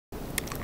Hello,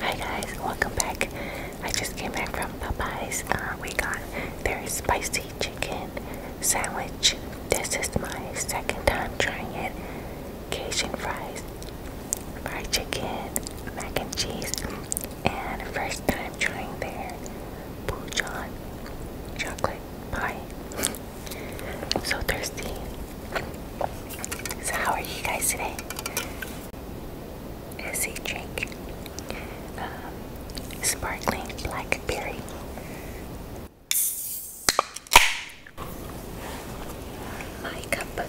hi guys, welcome back. I just came back from Popeyes. Uh, we got their spicy chicken sandwich. This is my second time trying it. Cajun fries fried chicken, mac and cheese, and first time trying their Pujon chocolate pie. so thirsty. So how are you guys today? As a drink, um, sparkling blackberry. My cup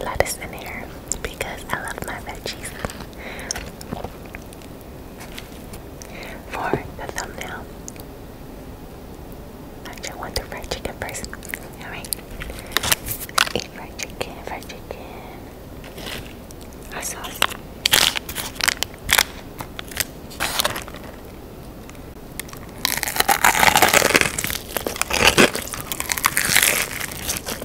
lettuce in here because I love my veggies. For the thumbnail, actually, I want the fried chicken first. Alright, fried chicken, fried chicken, hot sauce.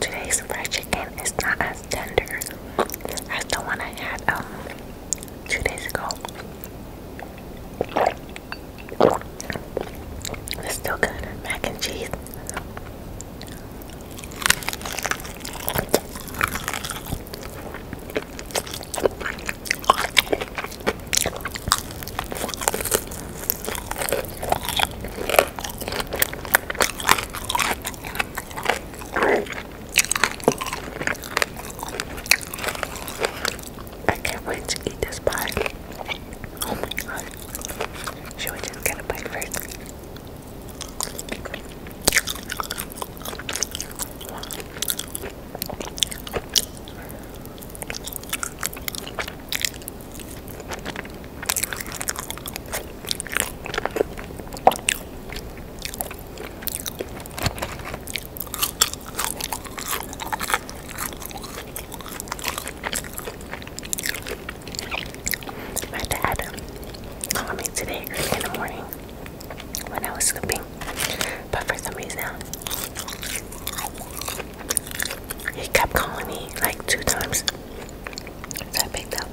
Today's fried chicken is not as tender as the one I had um, two days ago. It's still good. Mac and cheese. I can't wait to eat this pie. Oh my god. Should we just get a bite first? My dad called me today early in the morning when I was sleeping, but for some reason he kept calling me like two times. So I picked up.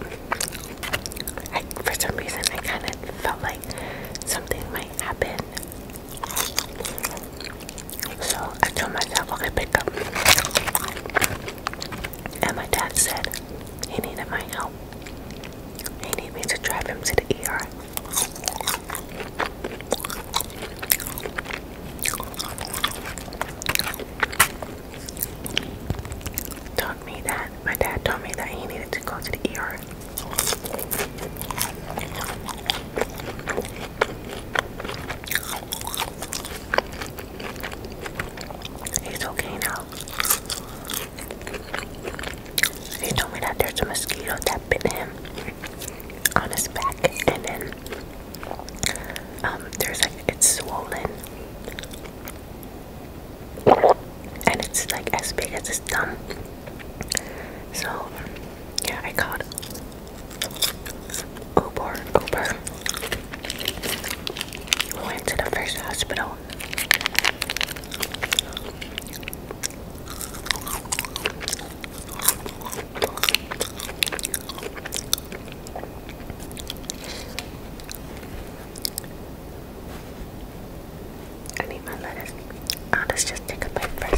for some reason, I kind of felt like something might happen. So I told myself, I okay, pick up. And my dad said he needed my help. He needed me to drive him to the ER. Told me that my dad told me that he needed to go to the ER. He's okay now. He told me that there's a mosquito that bit him on his back, and then um, there's like it's swollen, and it's like as big as his thumb. So yeah, I called Uber. Uber. We went to the first hospital I need my lettuce. let's just take a bite first.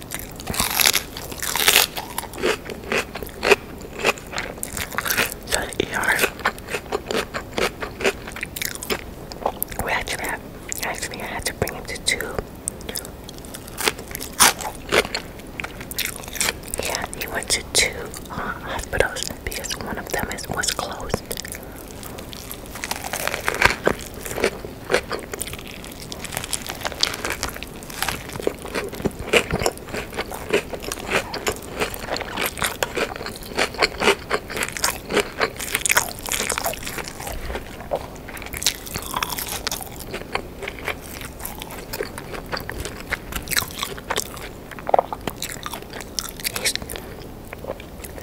So the ER, we actually have, actually I had to bring him to two. Yeah, he went to two uh, hospitals because one of them is, was closed.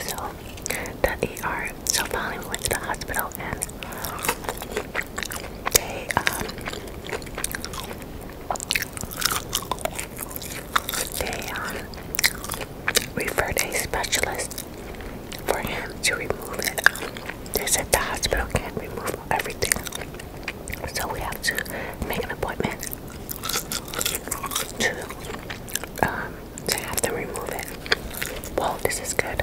So, the ER. So finally, we went to the hospital they um they um referred a specialist for him to remove it. They said the hospital can't remove everything. So we have to make an appointment to um to have them remove it. Well, this is good.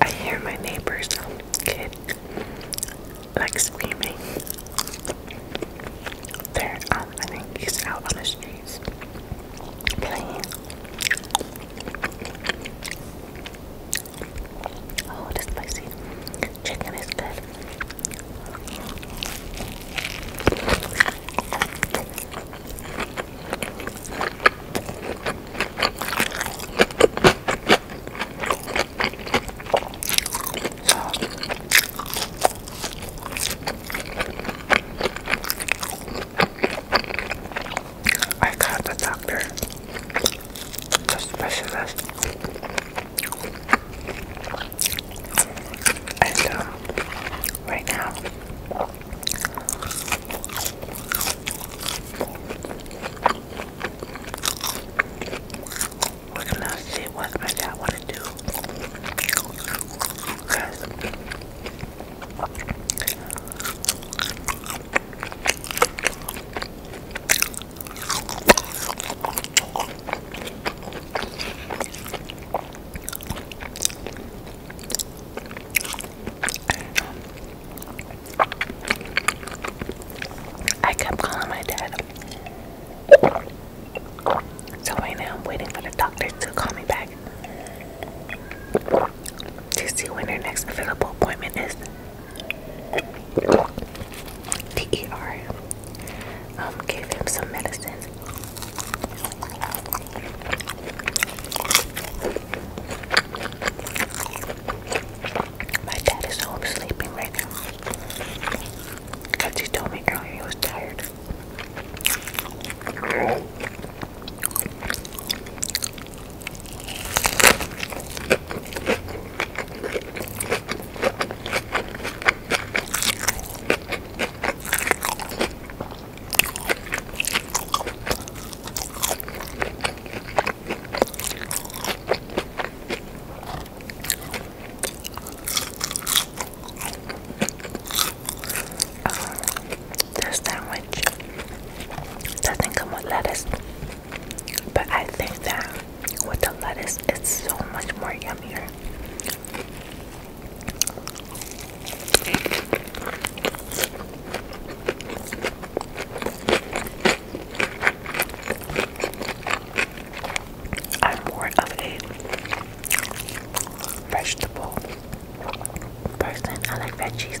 I hear my neighbor's kid like screaming. They're um, I think out on the streets playing. Oh, the spicy chicken is good. I called the doctor, the specialist, and uh, right now we're gonna see what really I want to do. Cause I kept calling my dad. So right now I'm waiting for the doctor to call me back to see when their next available appointment is. The um, gave him some medicine. My dad is home sleeping right now. Because he told me earlier he was tired. This sandwich doesn't come with lettuce, but I think that with the lettuce, it's so much more yummier. I'm more of a vegetable person. I like veggies.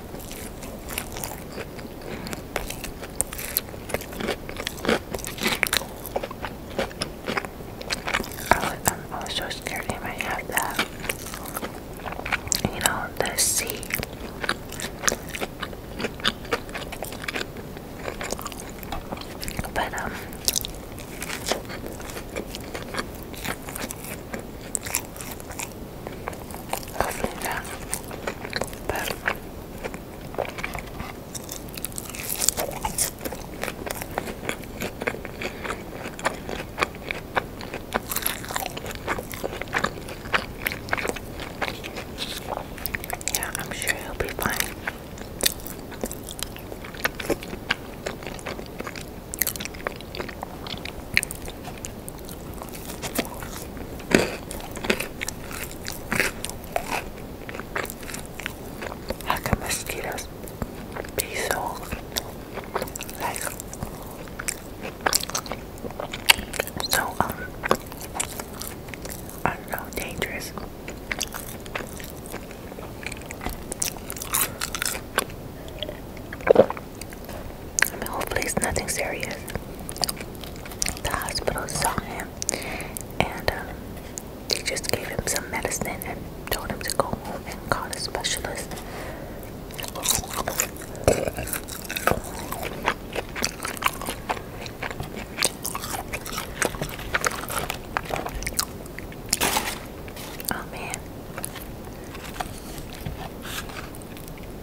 I, was so scared he might have that. You know, the sea. But, um, yeah, I'm sure he'll be fine. How can mosquitoes so like so um I don't know dangerous? I mean, hopefully it's nothing serious. The hospital saw him and um, they just gave him some medicine and told him to go home and call a specialist. Oh man.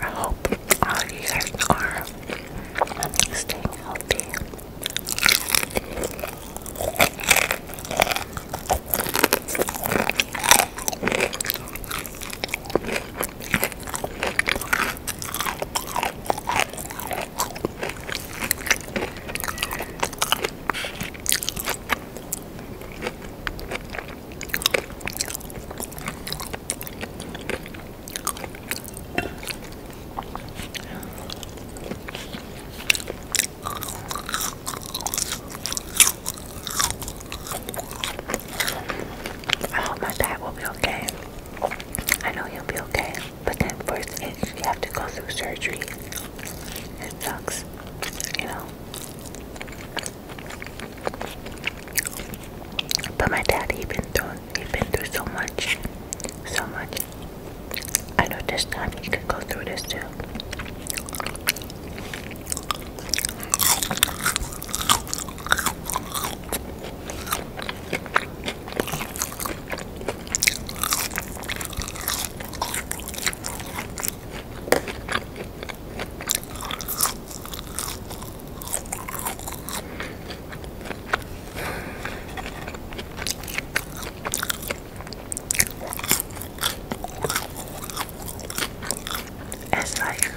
I hope all you guys are staying healthy. I hope my dad will be okay. I know he'll be okay, but then first, it, you have to go through surgery. It sucks, you know. But my dad, he's been through, he been through so much, so much. I know this time he could go through this too. It's like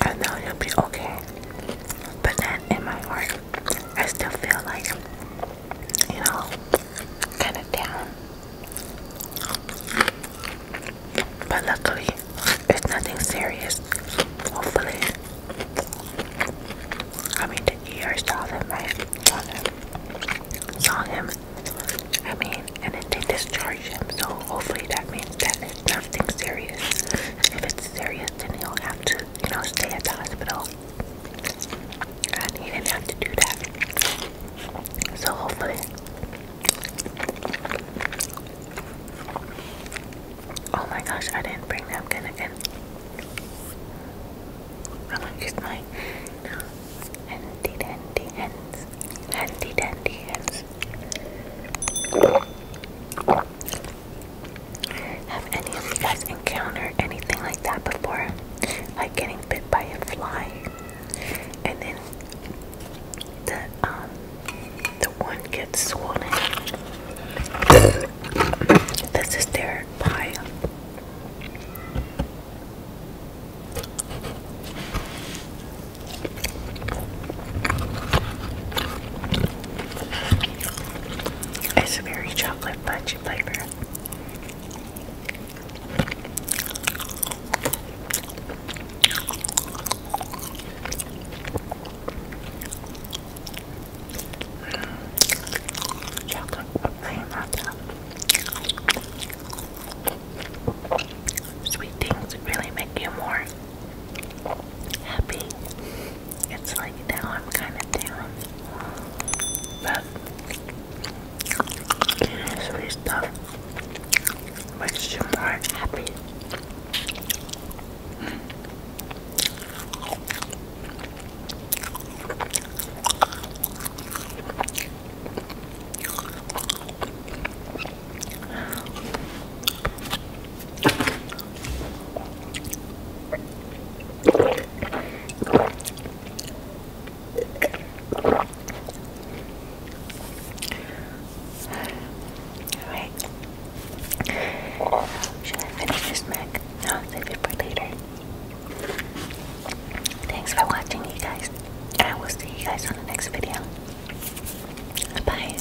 I know you'll be okay, but not in my heart. I still feel like, you know, kind of down. But luckily, it's nothing serious. Hopefully, I mean, the ER saw them, right? Saw them. Saw him. I mean, and they discharged him. So hopefully, that means that it's nothing serious. If it's serious, then he'll have to, you know, stay at the hospital he didn't have to do that. So hopefully, oh my gosh, I didn't bring that napkin again. I'm gonna use my handy dandy hands, handy dandy hands. Have any of you guys encountered anything like that before? Like getting bit by a fly, and then the um the one gets swollen. this is their pie. It's a very chocolate fudge lychee flavor. Mm. Chocolate Sweet things really make you more happy it's like now I'm kind of down. But sweet stuff makes you more happy. Alright. Should I finish this mac? I'll save it for later. Thanks for watching you guys. And I will see you guys on the next video. Bye.